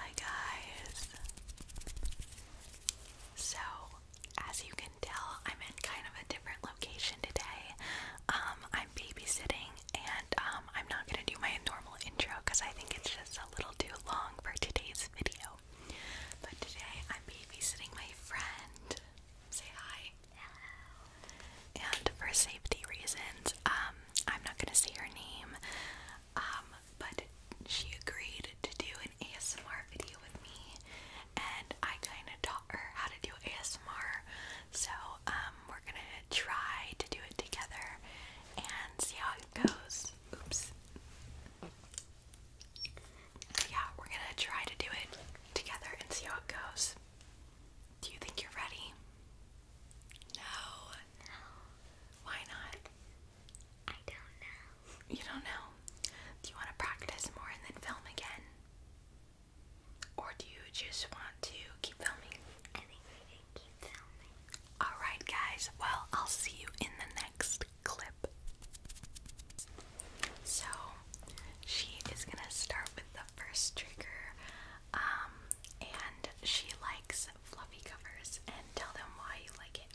Hi guys. So, as you can tell, I'm in kind of a different location today. Um, I'm babysitting and um, I'm not going to do my normal intro cuz I think it's just a little too long for today's video. But today I'm babysitting my friend. Say hi. And for safety reasons, um, I'm not gonna say her name, um, but she agreed to do an ASMR video with me, and I kind of taught her how to do ASMR. So um, we're gonna try to do it together and see how it goes. Oops. Yeah, we're gonna try to do it together and see how it goes. Do you think you're ready? No. No. Why not? I don't know. You don't know? Do you want to practice more and then film again? Or do you just want to keep filming? keep filming. Alright, guys. Well, I'll see you in the next clip. So, she is going to start with the first trigger. Um, and she likes fluffy covers and tell them why you like it.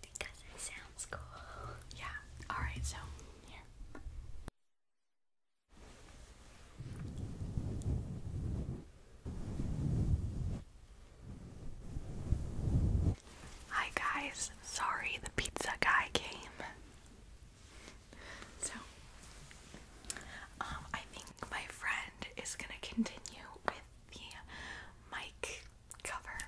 Because it sounds cool. Yeah. Alright, so here. Hi guys, sorry the pizza guy came. So, um, I think my friend is gonna continue with the mic cover.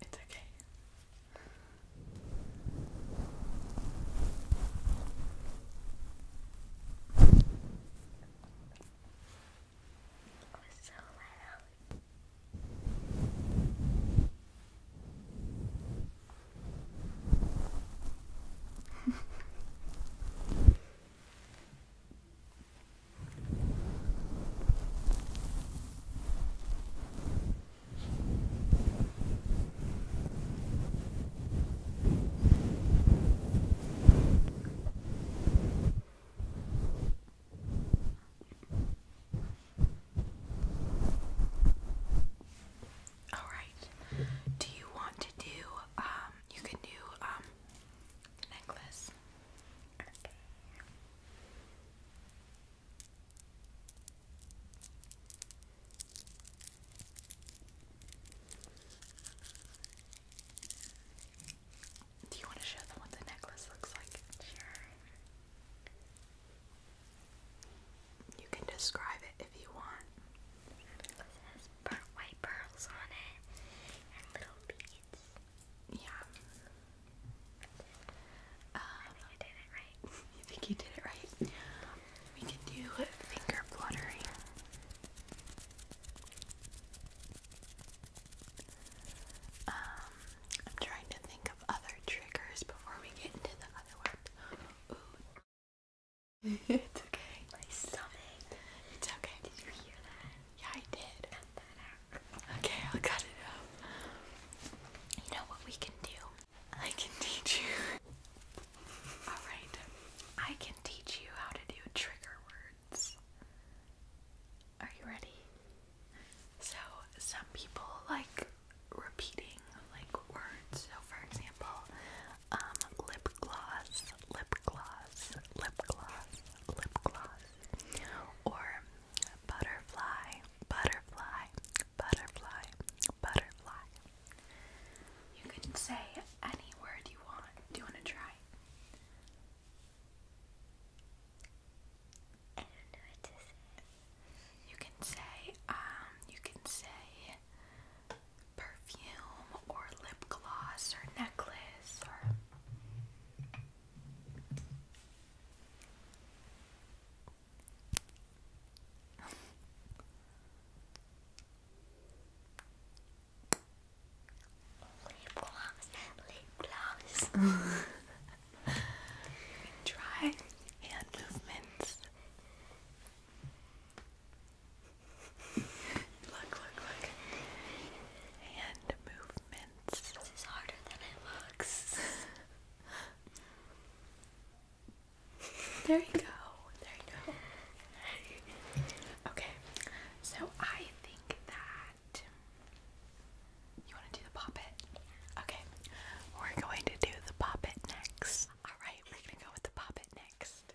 It's okay. It was so light out. All right. Do you want to do um, you can do um, necklace. Do you want to show them what the necklace looks like? Sure. You can describe it if you want. It has burnt white pearls on it and little beads. Yeah. think you think you did it right? We can do finger fluttering. Um, I'm trying to think of other triggers before we get into the other one. it's okay. My stomach. It's okay. Did you hear that? Yeah, I did. Okay, I'll cut it out. You know what we can do? I can teach you. Alright, I can teach you how to do trigger words words. Are you ready? So, some people like repeating like words. So, for example, um, lip gloss, lip gloss, lip gloss, lip gloss, or butterfly, butterfly, butterfly, butterfly. You can say any word you want. Do you want to try? You can say, um, you can say perfume or lip gloss or necklace or. Lip gloss, lip gloss. Try hand movements. look, look, look. Hand movements. This is harder than it looks. there you go. There you go. okay, so I think that you want to do the poppet. Okay, we're going to do the poppet next. All right, we're gonna go with the poppet next.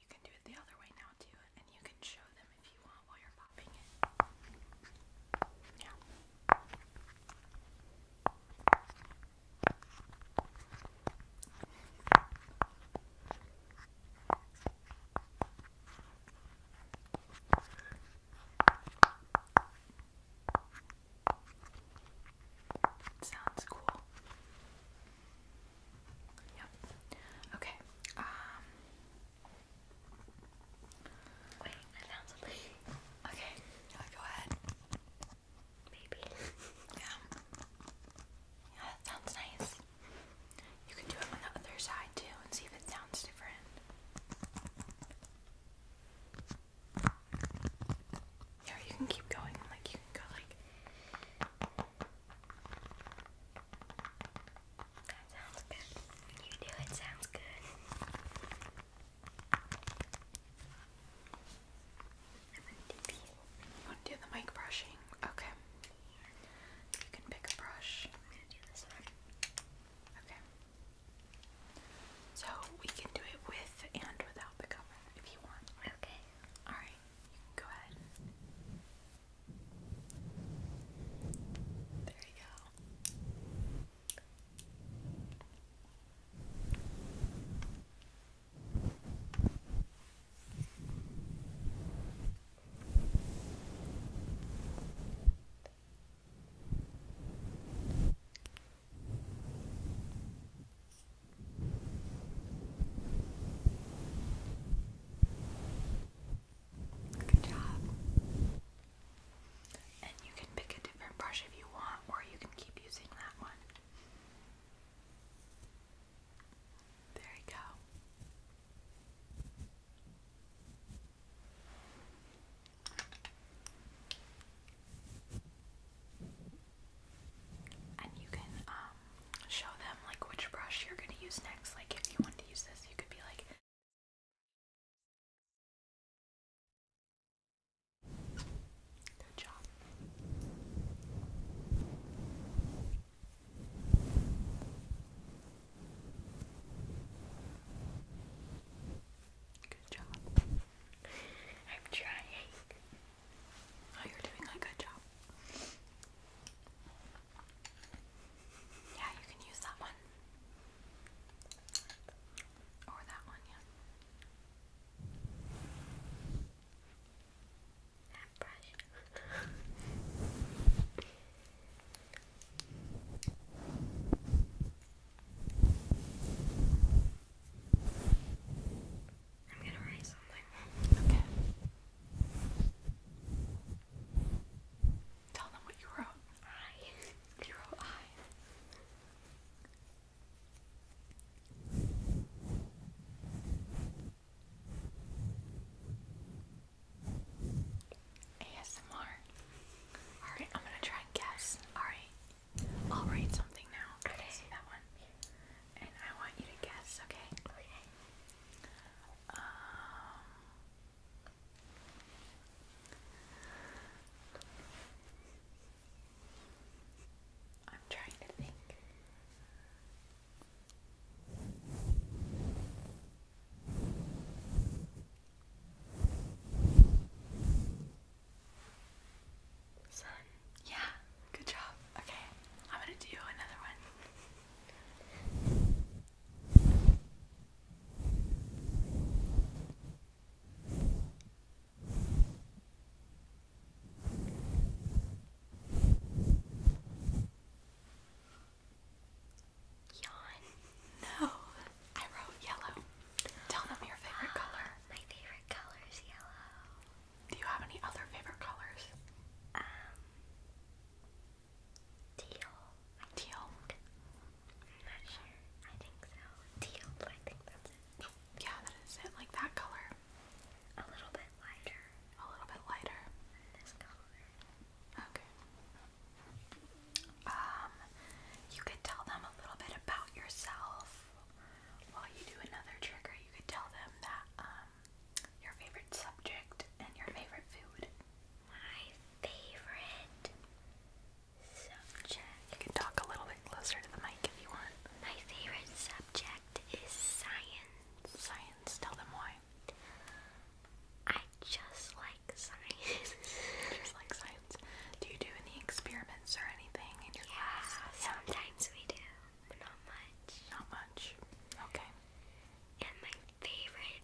you can do it the other way now too, and you can show them if you want while you're popping it. Yeah. sounds cool. Yep. Okay. Um Okay, go ahead. Maybe. yeah. Yeah, that sounds nice. You can do it on the other side too and see if it sounds different. Yeah, you can keep going. Like you can go like. That sounds good. You do it sounds good. I'm gonna do the mic brushing? Okay. You can pick a brush. I'm gonna do this one. Okay. So we can do it with and without the cover if you want. Okay. Alright, go ahead. There you go. There Good job. And you can pick a different brush if you want, or you can keep using that one. There you go. And you can um show them like which brush you're gonna use next. Like if you want to use this, you could be like Good job. Good job. I'm trying. Oh, you're doing a good job. Yeah, you can use that one. Or that one, yeah. That brush. I'm gonna write something. Okay. Tell them what you wrote. I. You I. ASMR. Alright, I'm gonna try and guess. Alright. I'll write something now. Okay. that one. And I want you to guess, okay? Okay. Um, I'm trying to think. Sun. Yeah, good job. Okay, I'm gonna do another one. Yawn. No, I wrote yellow. Tell them your favorite ah, color. My favorite color is yellow. Do you have any other favorite colors? Um, Teal. Teal. I'm not sure. I think so. Teal. I think that's it. Yeah, that is it. Like that color. A little bit lighter. A little bit lighter. this color. Okay. Um, you could tell them a little bit about yourself while you do another trigger. You could tell them that um your favorite subject and your favorite food my favorite subject. You can talk a little bit closer to the mic if you want. My favorite subject is science. Science. Tell them why. I just like science. just like science. Do you do any experiments or anything in your yeah, Sometimes we do, but not much. Not much. Okay. And my favorite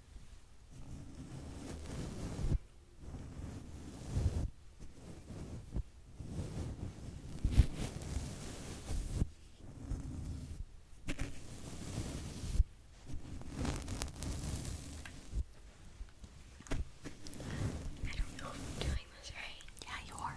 I don't know if I'm doing this right. Yeah, you are.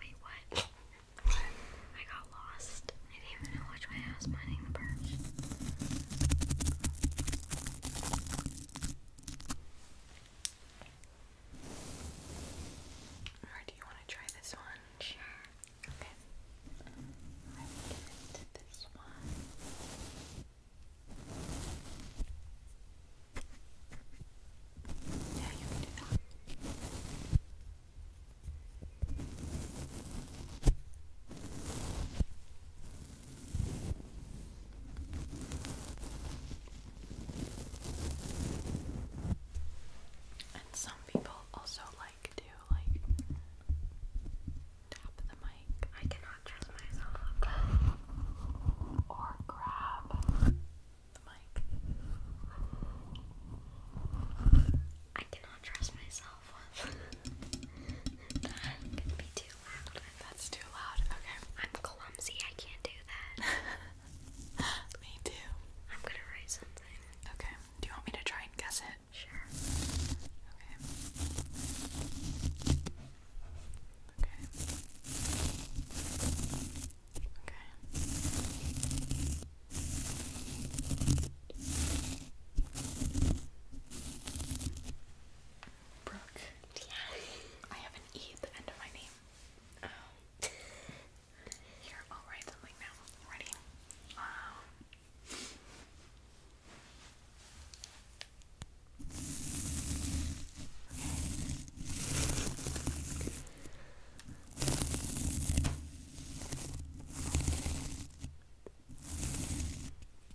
Wait, what? I got lost. I didn't even know which way I was finding the perch. Or do you want to try this one? Okay. I will get into this one. Yeah, you do that. And some people also like to like tap the mic. I cannot trust myself. Or grab the mic. I cannot trust myself. That's too loud. Okay. I'm clumsy. I can't do that. me too. I'm gonna write something. Okay. Do you want me to try and guess it? Sure. Okay. Okay. Okay. Brooke. Yeah. I have an E at the end of my name. Oh. Here, I'll write now. Ready? Um,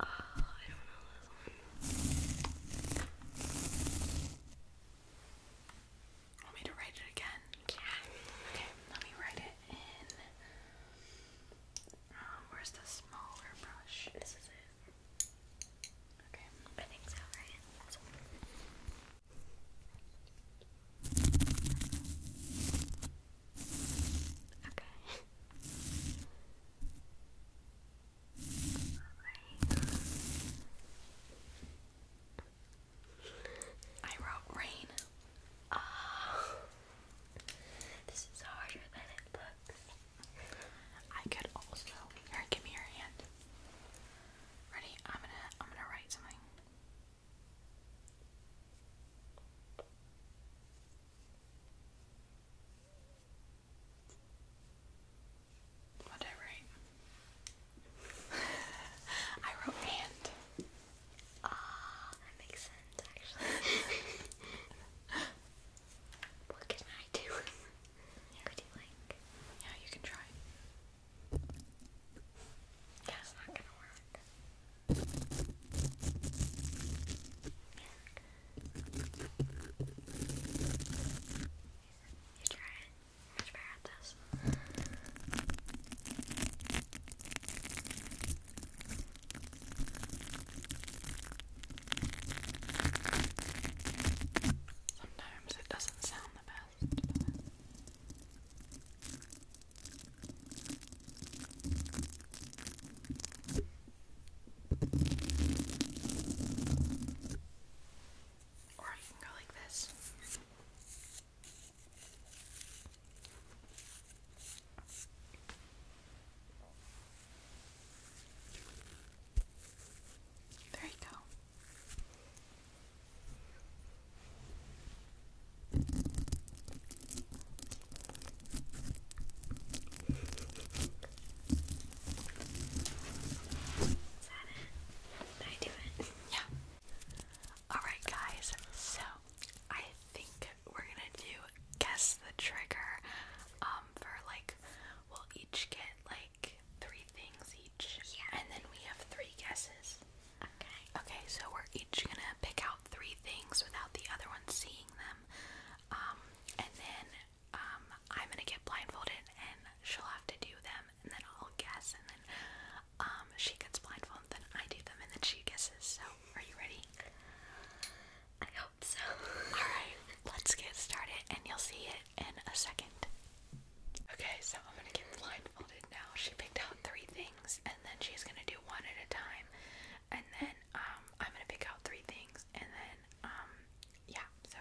uh, okay. I don't know Want me to write it again? Yeah. Okay, let me write it in. Um, where's the smaller brush? This is it. Okay, I think so, right? Okay. Alright. I wrote rain. Oh, this is harder than it looks. I could also here, give me your hand. Ready? I'm gonna I'm gonna write something. What did I wrote and. Ah, that makes sense actually. what can I do? Yeah. you like? Yeah, you can try. That's not gonna work. You try it much Sometimes it doesn't sound the best. Or you can go like this. There you go. I do it? Yeah. Alright, guys, so I think we're gonna do guess the trigger um, for like, we'll each get like three things each. And then we have three guesses. Okay. Okay, so we're each gonna pick out three things without the other one seeing them. Um, and then um, I'm gonna get blindfolded and she'll have to do them and then I'll guess, and then um, she gets blindfolded, and then I do them, and then she guesses. So, are you ready? I hope so. Alright, let's get started, and you'll see it in a second. Okay, so I'm gonna get blindfolded now. She picked out three things, and then she's gonna do one at a time, and then um, I'm gonna pick out three things, and then um, yeah. So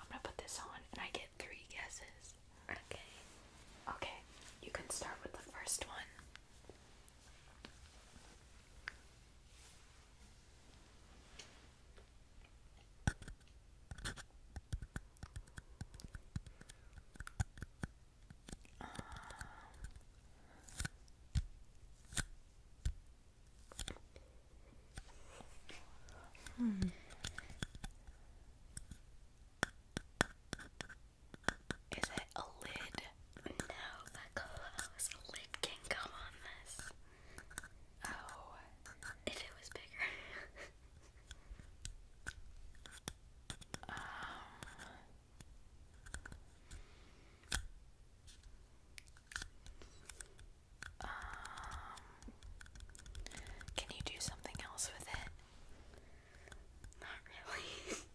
I'm gonna put this on, and I get three guesses. Okay. Okay, you can start with the first one. Um, hmm. Is it a lid? No, but lid can come on this. Oh, if it was bigger. um, um, can you do something else with it? Not really.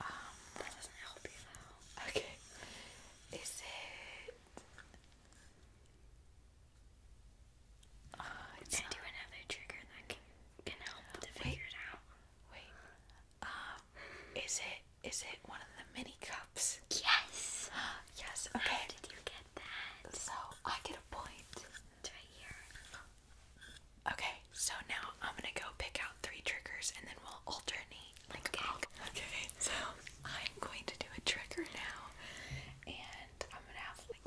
Um, you Okay. Is it uh, not... do another trigger that can, help to figure it out. Wait. Um is it is it one of the mini cups? Yes. yes. Okay. did you get that? So I get a point. Okay. So now I'm gonna go pick out three triggers and then we'll alternate. okay. okay. So I'm going to do a trigger now, and I'm gonna have like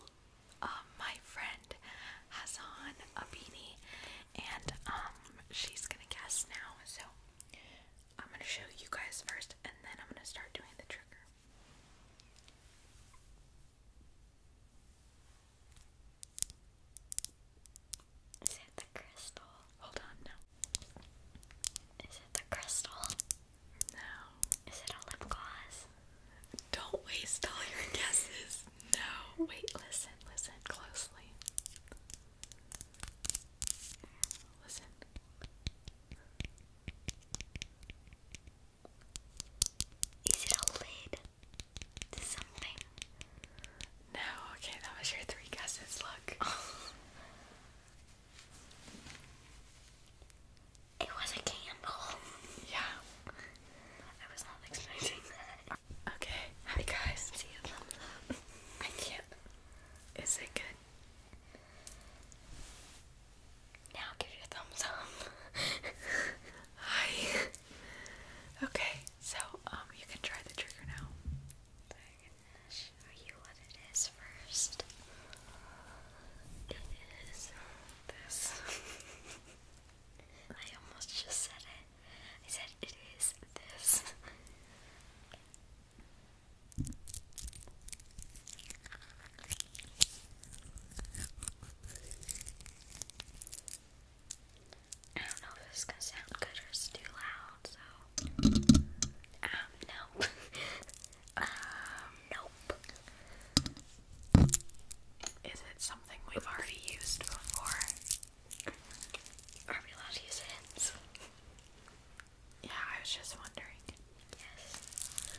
um, my friend has a beanie, and um she's gonna guess now. So I'm going to show you guys first and then I'm going to start doing the trigger. Is it the crystal? Hold on, no. Is it the crystal? No. Is it a lip gloss? Don't waste all your guesses. No. Wait, listen, listen closely. Listen. Is it a lid something? No, okay, that was your three guesses. Look. It was a candle. Yeah. I was not expecting Okay. guys. See a thumbs up. I can't. Is it good? Now give it a thumbs up. Hi. Okay, so um you can try the trigger now. I'm gonna show you what it is first. It is this. I almost just said it. I said it is this. I don't know if this is gonna sound good or it's too loud, so um nope. um nope. Is it something we've already used before? Are we allowed to use hints? Yeah, I was just wondering. Yes.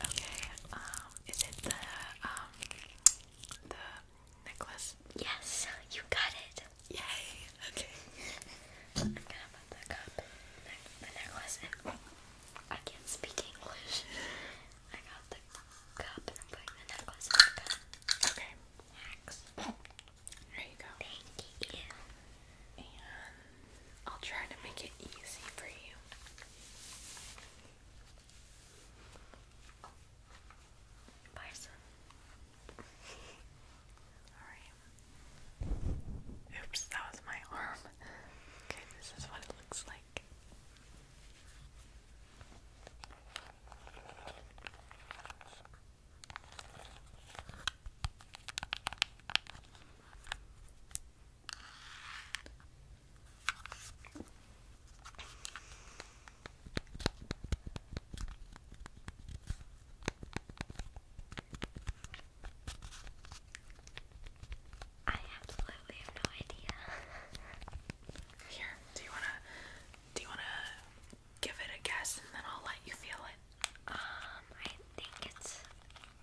Okay. Um, is it the um the necklace? Yes, you got it. Yay. Okay. I'm gonna put the cup, the necklace, I can't speak English. I got the cup and I'm putting the necklace in the cup. Okay. Next. There you go. Thank you. And I'll try to make it easy for you. Parson. Alright. Oops, that was my arm. Okay, this is what it looks like. I absolutely have no idea. Here, do you wanna do you wanna give it a guess and then I'll let you feel it. Um, I think it's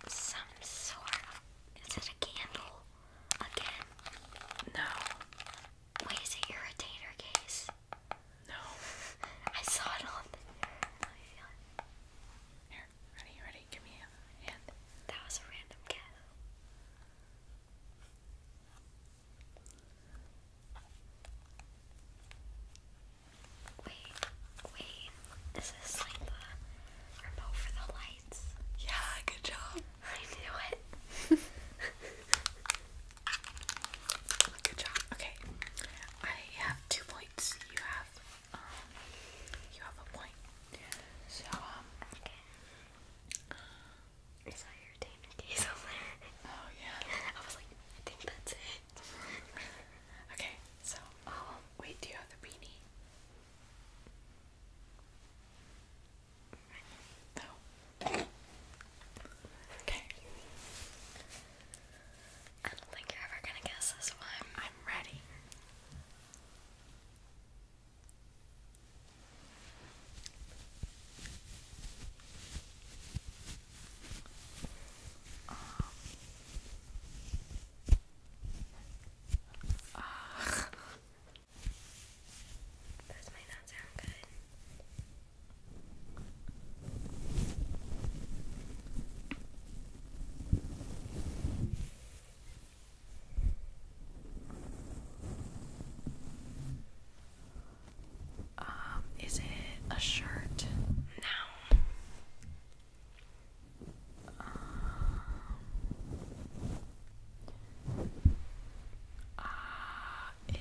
some sort of. Is it a candle? Again? No. Wait, is it your retainer case? No. I saw it on Let me feel it. Here, ready, ready, give me a hand. That was a random guess. Wait, wait. Is like the remote for the lights? Yeah, good job. I knew it. good job. Okay. I have two points. You have um you have a point. So um Okay. I saw your retainer case over Oh yeah. I was like, I think that's it. okay, so um wait, do you have the beanie? No. Okay. I don't think you're ever gonna guess this one. I'm ready. Um, might not sound good. Um, is it a shirt? No. Um,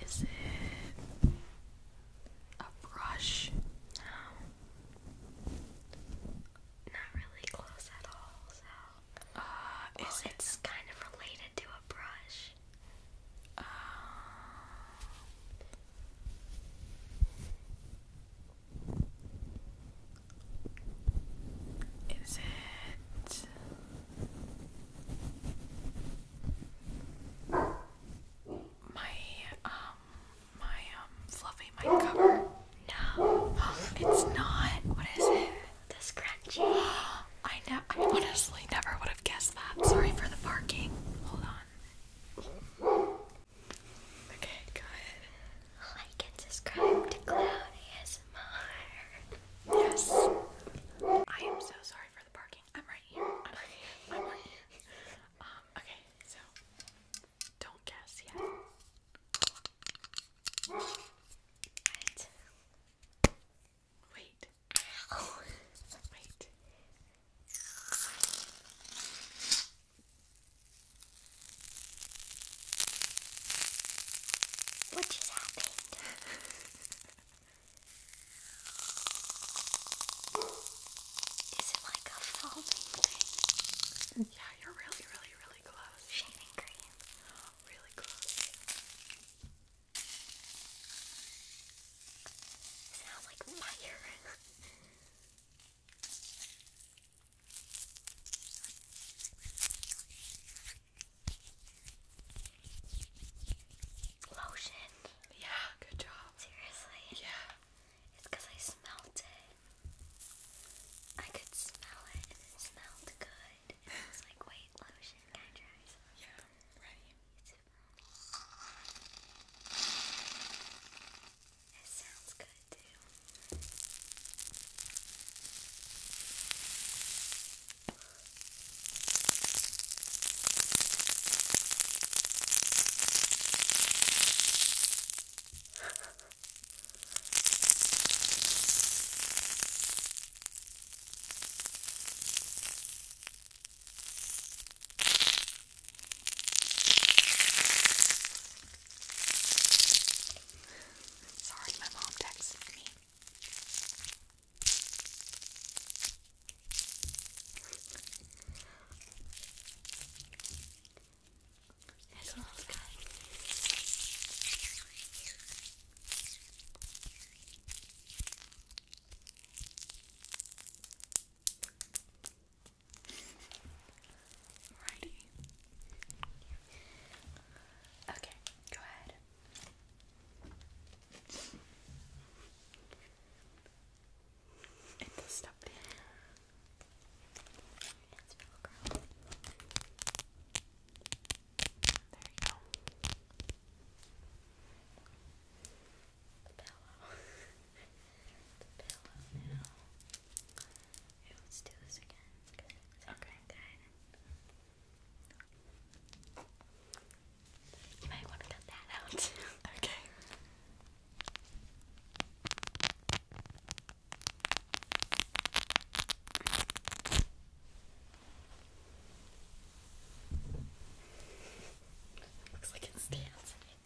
is it a brush? No. Not really close at all, so. Uh, is it... kind of related to a brush. Um, is it my um my um fluffy mic cover? No, it's not. What is it? The scrunchie. I know. I honestly never would have guessed that. Sorry for the barking. Hold on. Okay, go ahead. Like and subscribe to Cloud ASMR. Yes. I am so sorry for the barking. I'm right here. I'm right here. I'm right here. Um, okay, so don't guess yet. What? Wait. Oh. What just happened? Is it like a foaming thing? Yeah, you're really, really, really close. Shaving cream. Really close. Sounds like fire. Lotion. Yeah, good job. Seriously? Yeah. It's I smelled it. I could smell it and it smelled good. And was like, wait, lotion, Yeah, ready. It sounds good too. Sorry, my mom texted me. It's all good. Alrighty. Okay, go ahead. It does stop there. It's Velcro. There you go the pillow. the pillow now. let's do this again. Okay. Good. You might want to cut that out. okay. Looks like it's dancing.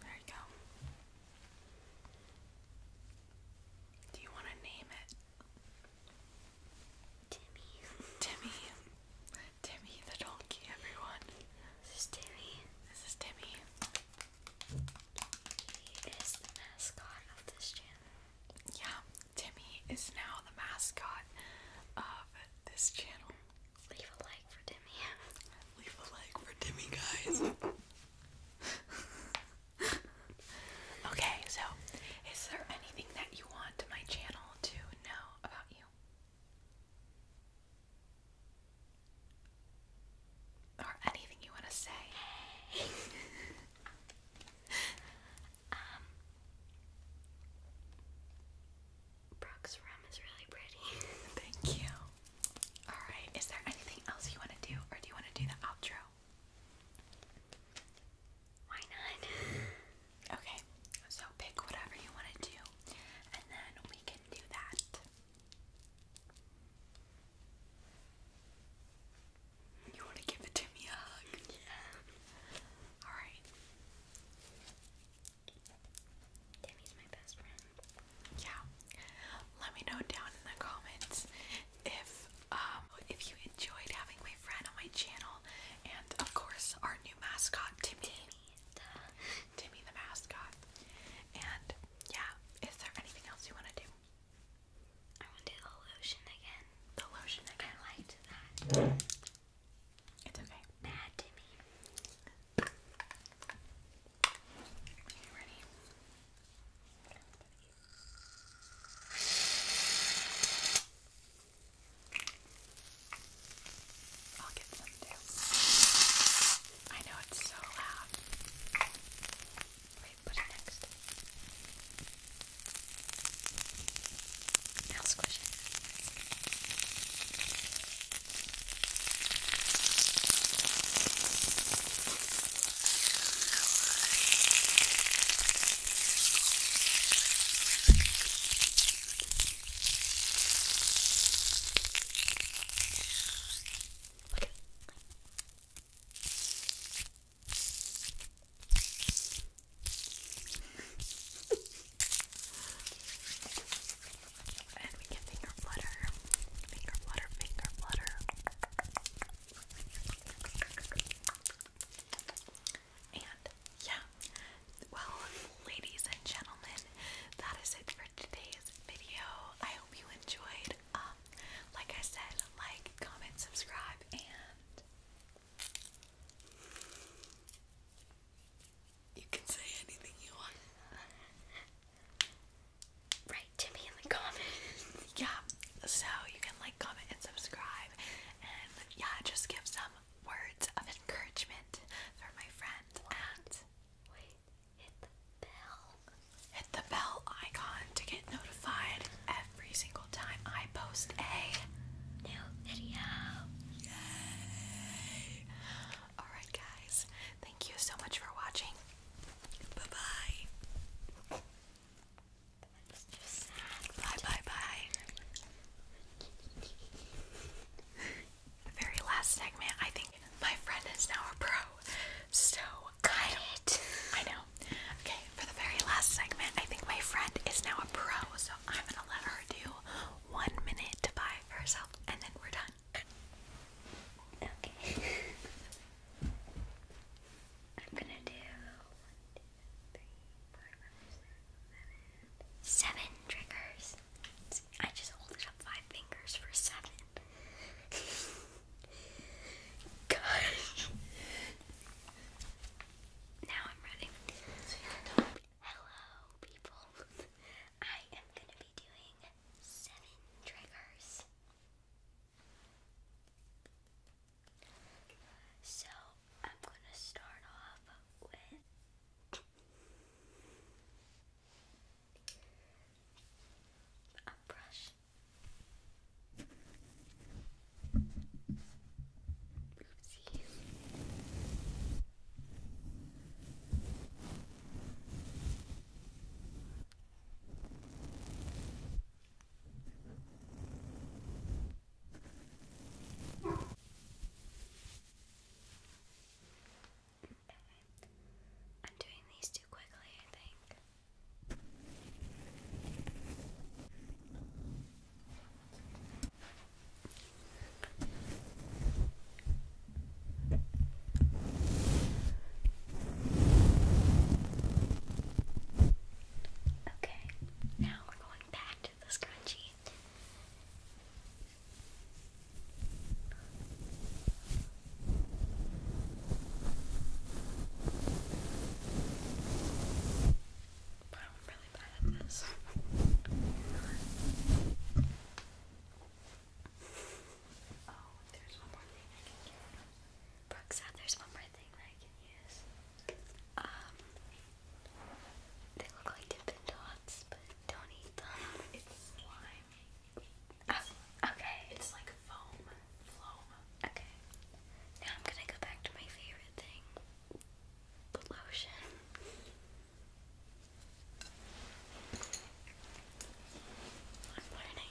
There you go. Do you want to name it? Timmy. Timmy. Timmy the donkey, everyone. This is Timmy. This is Timmy. He is the mascot of this channel. Yeah, Timmy is now the mascot of this channel. Leave a like for Timmy. Leave a like for Timmy, guys. okay, so is there anything that you want my channel to know? about you. Or anything you want to say. Um, Brooke's room is really pretty. Thank you. Alright, is there anything else you want to do, or do you want to do the outro? Why not? okay, so pick whatever you want to do, and then we can do that. You want to give it to me a hug? Yeah. Alright. Timmy's my best friend. Yeah. Let me know down in the comments if um if you enjoyed having my friend on my channel, and of course, our new mascot, Timmy. Timmy the, mascot. And yeah, is there anything else you want to do? I want to do the lotion again. The lotion again? I It's okay. Bad Timmy. ready? I'll get some too. I know it's so loud. Wait, put it next. Now squish Look at it. and we can finger flutter, finger flutter, finger flutter. And yeah, well, ladies and gentlemen, that is it for today's video. I hope you enjoyed. Um, like I said, like, comment, subscribe, and you can say anything you want. Write to me in the comments. Yeah, so you can like, comment, and subscribe, and yeah, just give some words of encouragement for my friend and hit the bell. Hit the bell icon to get notified every single time I post a new video. Yay! Alright guys, thank you so much for watching. Bye-bye. Bye bye bye. the very last segment, I think my friend is now a pro. So, cut it. I know. Okay, for the very last segment, I think my friend is now a pro. So, I'm gonna let her do one minute to buy herself, and then we're done. Okay. I'm gonna do Seven triggers. I just hold up five fingers for seven. Gosh. Now I'm ready. Hello, people. I am gonna be doing seven triggers. So I'm gonna start off with a brush. Oopsies. Okay. I'm doing these too quickly, I think. Okay, now we're going back with the I'm really bad at this. oh, there's one more thing I can use. Brooke said there's one more thing I can use. Um, they look like Dippin' Dots, but don't eat them. It's slime. Ah, okay. It's like foam. Foam. Okay. Now I'm gonna go back to my favorite thing. The lotion. I'm learning.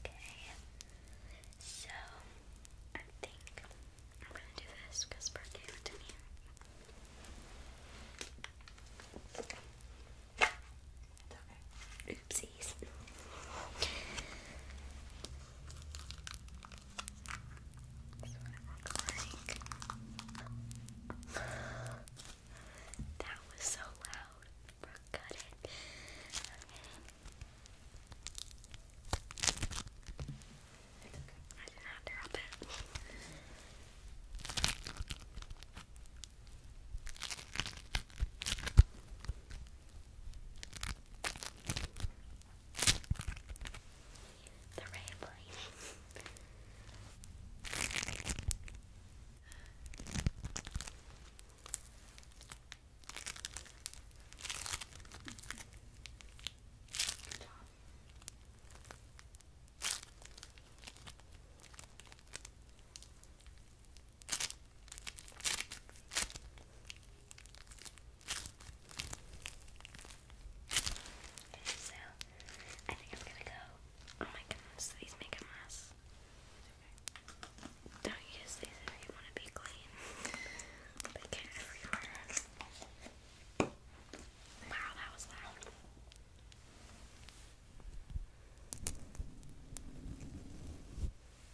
Okay, so I think I'm gonna do this because Bert to me. Oopsies. That's what that was so loud. Brooke it. okay. I did not drop it. The rambling. Good job. Good so, I think I'm gonna go. Oh my goodness, these make a Don't use these you want to be clean. they get everywhere. Wow, that was loud.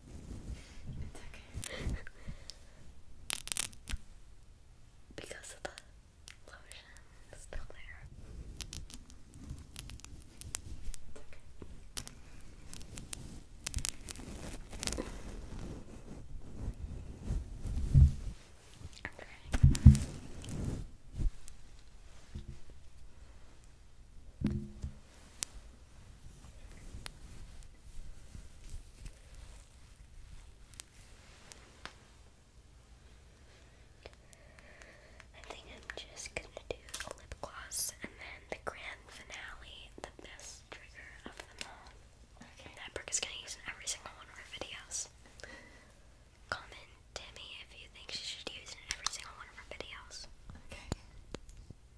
because of the lotion is still there. Okay. I think I'm just gonna do a lip gloss and then the grand finale, the best trigger of them all. That brick is gonna use in every single one of her videos. Comment to me if you think she should use in every single one of her videos. Okay. I'm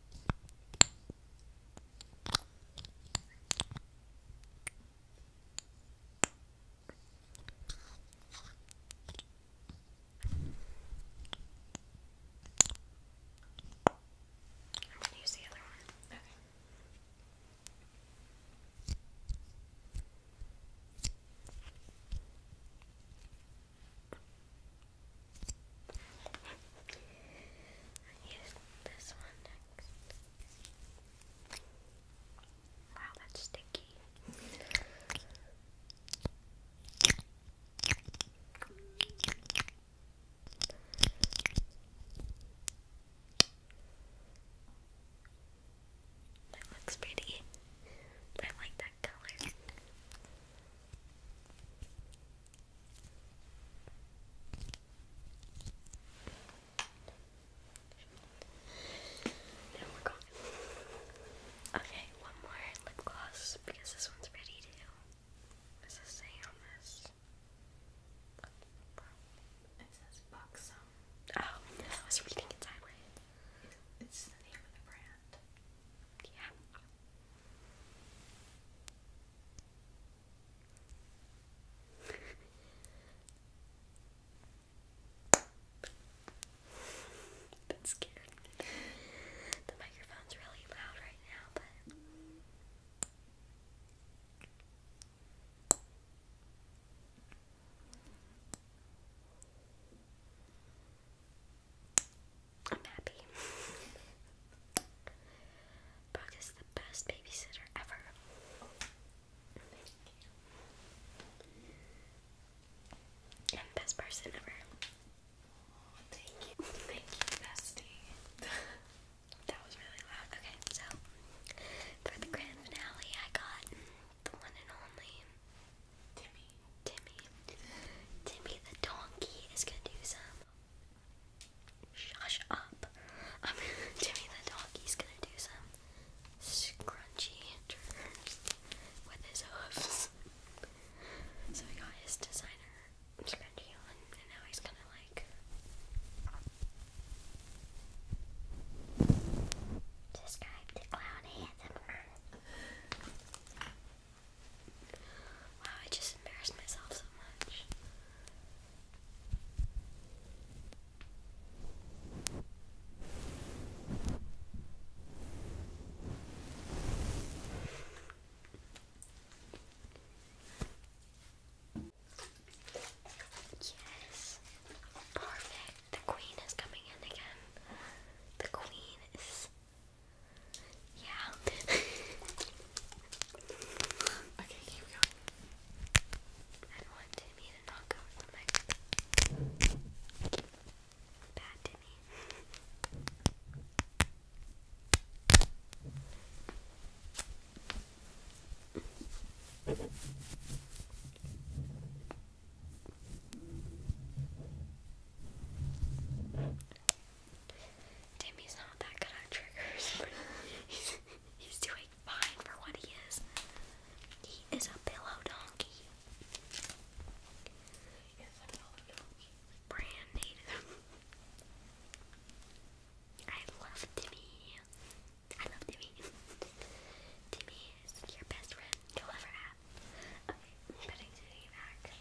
gonna use the other one. Okay. Here's this one next. Wow, that's sticky. That looks pretty. I like that color. Okay, one more lip gloss because this one's pretty too. What's it say on this? Oh, I was reading it sideways. It's the name of the brand. Yeah bit scared. The microphone's really loud right now, but. I'm happy. Brooke is the best babysitter ever. best person ever. thank you. Thank you, bestie. that was really loud. Okay, so for the grand finale, I got the one and only Timmy. Timmy. Timmy the donkey is gonna do some Shush up. i Jimmy the doggy's gonna do some scrunchy triggers with his hooves. So we got his designer scrunchie on, and now he's gonna like describe the clown handsome Wow, I just embarrassed myself so much. Yes. Perfect. The queen is coming in again. The queen is yeah. okay, keep going. I don't want Timmy to knock over my bad Timmy. Timmy's not that good at triggers, he's, doing fine for what he is. He is a pillow donkey. He a pillow donkey. Brand native. I love Timmy. I love Timmy. Timmy is your best friend you'll ever have. putting Timmy back.